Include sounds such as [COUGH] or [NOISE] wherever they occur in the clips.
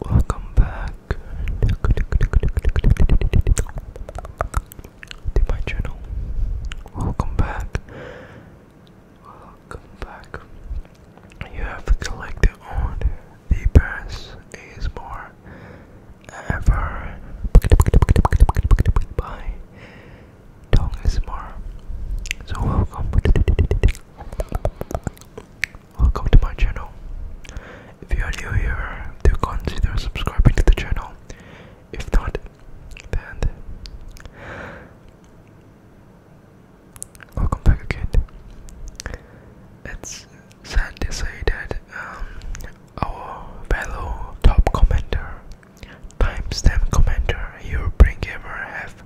Welcome back to my channel. Welcome back Welcome back. You have collected all the best is ever by Dong is So welcome. Welcome to my channel. If you are new here, do consider subscribing to the channel. If not, then Welcome back again. It's sad to say that um, our fellow top commenter, timestamp commenter, Eurobrinkgamer have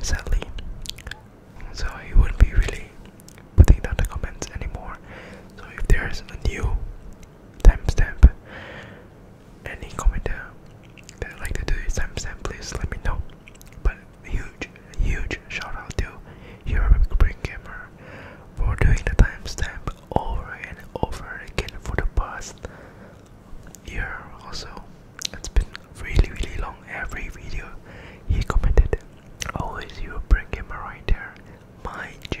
sadly, so he wouldn't be really putting down the comments anymore. So if there's a new timestamp any commenter that like to do this timestamp please let me know but huge huge shout to Europe Bring Gamer for doing the timestamp over and over again for the past year or it's been really really long every video he commented always Europe Bring Gamer right there my G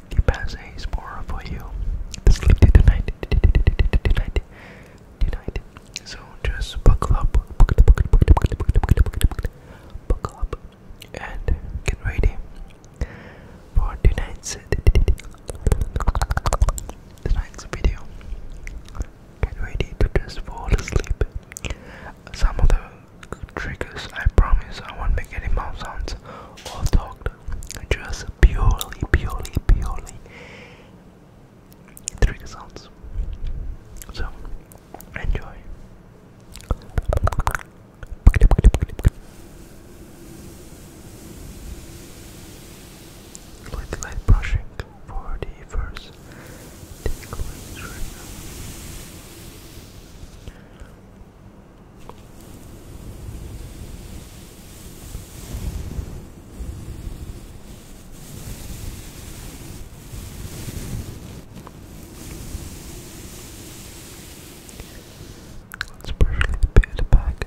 the passe is more for you to sleep tonight. Tonight. Tonight. So just buckle up. Buckle, buckle, buckle, buckle, buckle, up and get ready for tonight's tonight's video. Get ready to just fall asleep. Some of the triggers I promise I won't make any mouth sounds all talked just purely, purely, purely trigger sounds. So enjoy. With light brushing for the first Let's brush the beard back.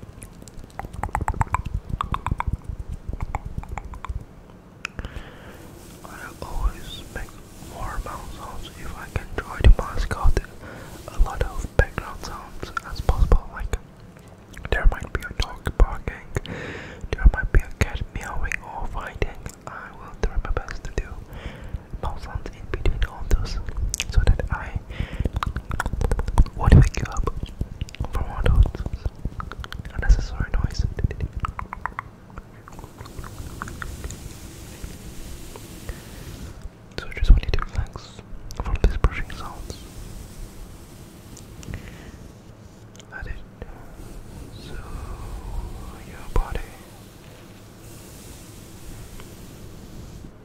I always make more mouth sounds if I can try to mask out a lot of background sounds as possible. Like there might be a dog barking, there might be a cat meowing or fighting. I will try my best to do mouth sounds in between all those so that I what would wake you up from all unnecessary noises. So just want to relax from these brushing sounds. Let it so your body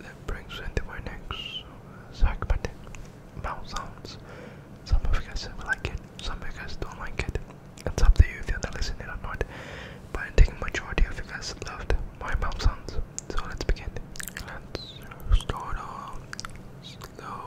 that brings me to my next uh, segment, mouth sounds. Some of you guys like it, some of you guys don't like it. It's up to you if you're not listening or not. But I think majority of you guys loved my mouth sounds. So let's begin. Let's start off slow.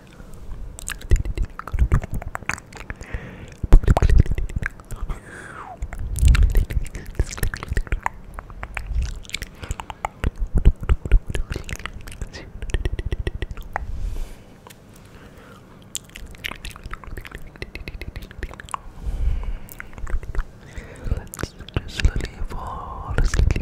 Let's just slowly fall asleep.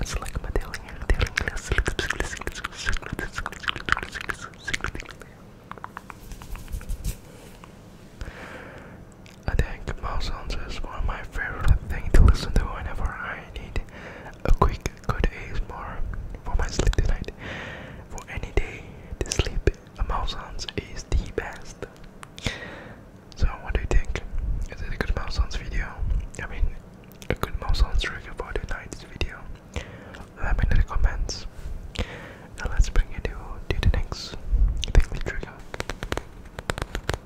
It's like my daily, daily I think mouse songs are one of my favorite things to listen to whenever I need a quick good ASMR for my sleep tonight. For any day the sleep, a mouth sounds is the best. So what do you think? Is it a good mouth sounds video? I mean, a good mouth sounds trigger for tonight's video. Let me know in the comments. Now let's bring it to, the next trigger.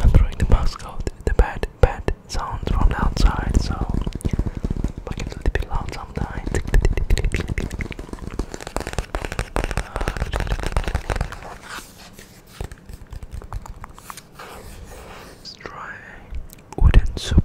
I'm throwing the mask out, the bad, bad sounds from outside, so I get a little bit loud sometimes. [LAUGHS] Let's try wooden soup.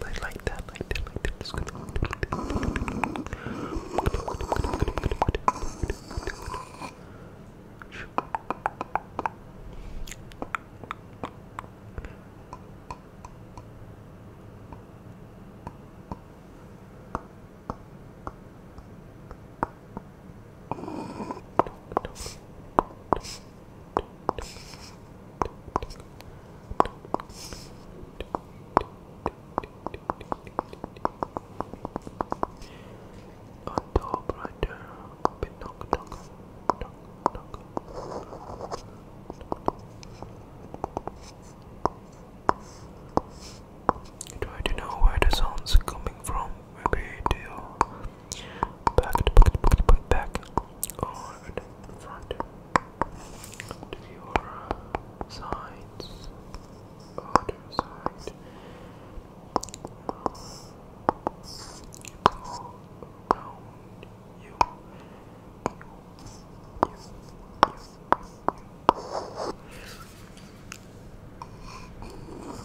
Like, like that, like that, like that. Just gonna on top right there. Bit knock, knock, knock, knock. Try to know where the sounds coming from. Maybe to back, back, back, or in front your sides, or to your side. All around you. you, you, you, you.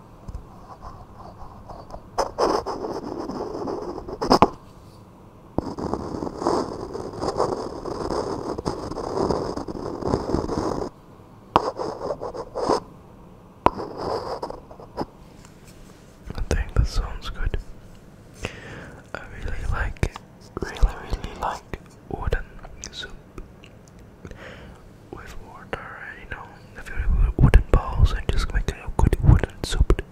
I think that sounds good. I really like it. Really, really like wooden soup with water, you know a few wooden balls and just make a good wooden soup.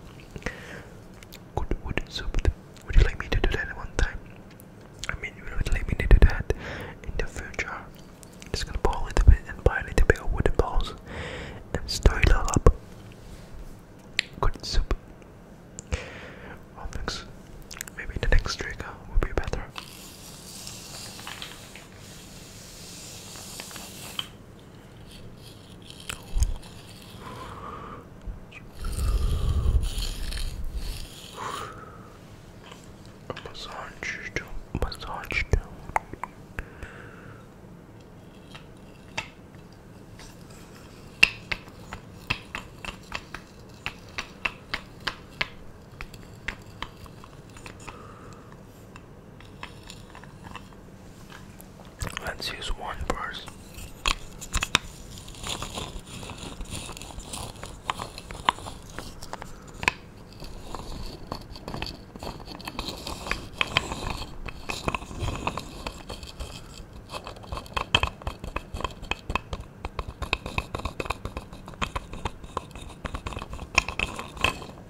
Good wooden soup. Would you like me to do that one time? I mean, you would like me to do that in the future. Just gonna pour a little bit and buy a little bit of wooden balls and stir it all up. Good soup. Well, Maybe the next trigger uh, will be better. A massage, massage. Let's use one first.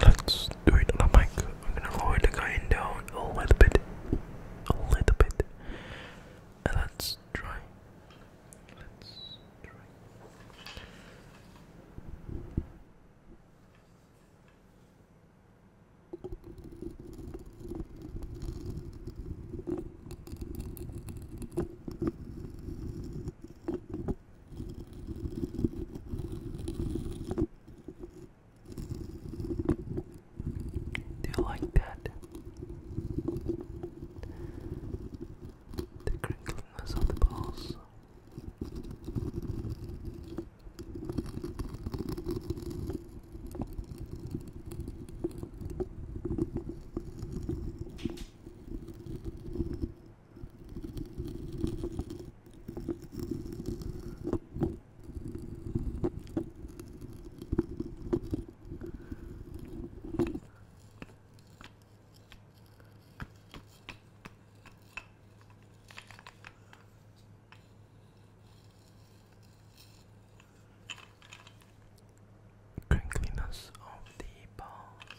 Let's do it on a mic. I'm gonna lower the guy down a little bit, a little bit, let's try. Let's try. Do you like that? The crinkliness of the balls. Crinkliness of the balls.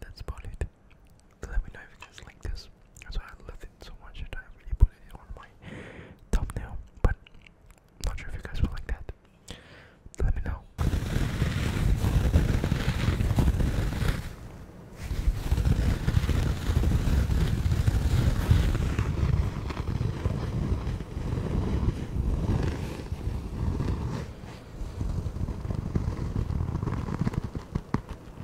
That's about it. Let me know if you guys like this. That's why I love it so much I really put it on my thumbnail. But not sure if you guys will like that. Let me know.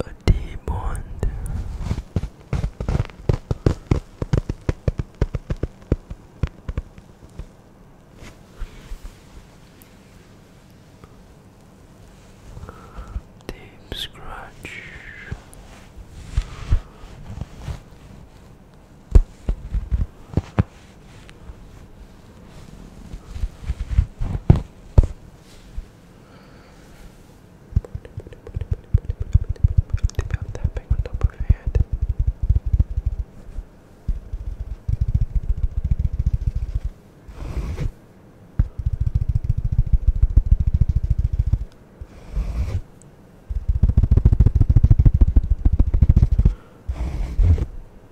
A demon. Deep scratch. Dip out that big on top of your head. Good.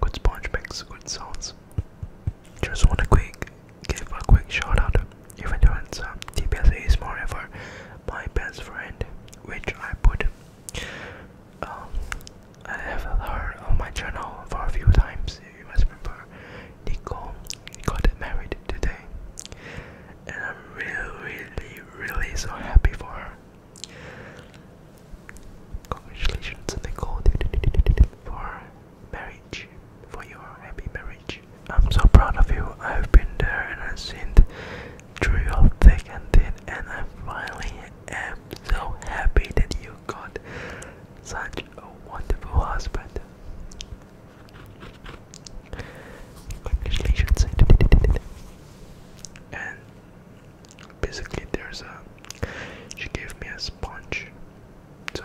Good sponge makes good sounds. Just want to quick give a quick shout out even though in some TPS is more of a my best friend, which I put um, I have her on my channel for a few times. You must remember, Nicole got married today, and I'm really, really, really so happy for her. Congratulations, Nicole, for marriage, for your happy marriage. I'm so proud of you. I've been there and I've seen through your thick and thin, and I finally am so happy that you got such a wonderful husband. Congratulations. And basically, there's a. She gave me a sponge. So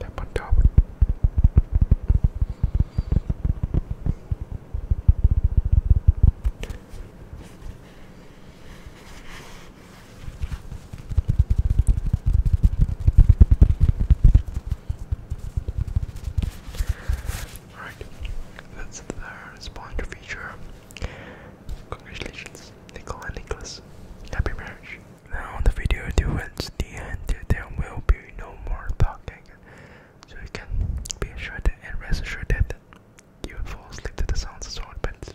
Tap on top. Alright, that's the spawner feature. Congratulations. Nicole and Nicholas. Happy marriage. Now the video towards the end there will be no more talking. So you can be assured and rest that you fall asleep to the sounds of sword pits.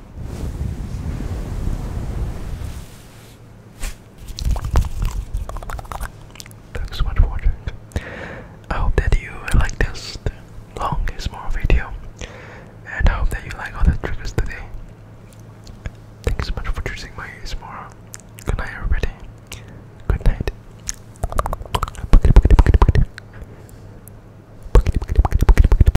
Thanks so much for watching. I hope that you like this long and small video, and I hope that you like all the tricks today. Thanks so much for choosing my small. Good night, everybody. Good night.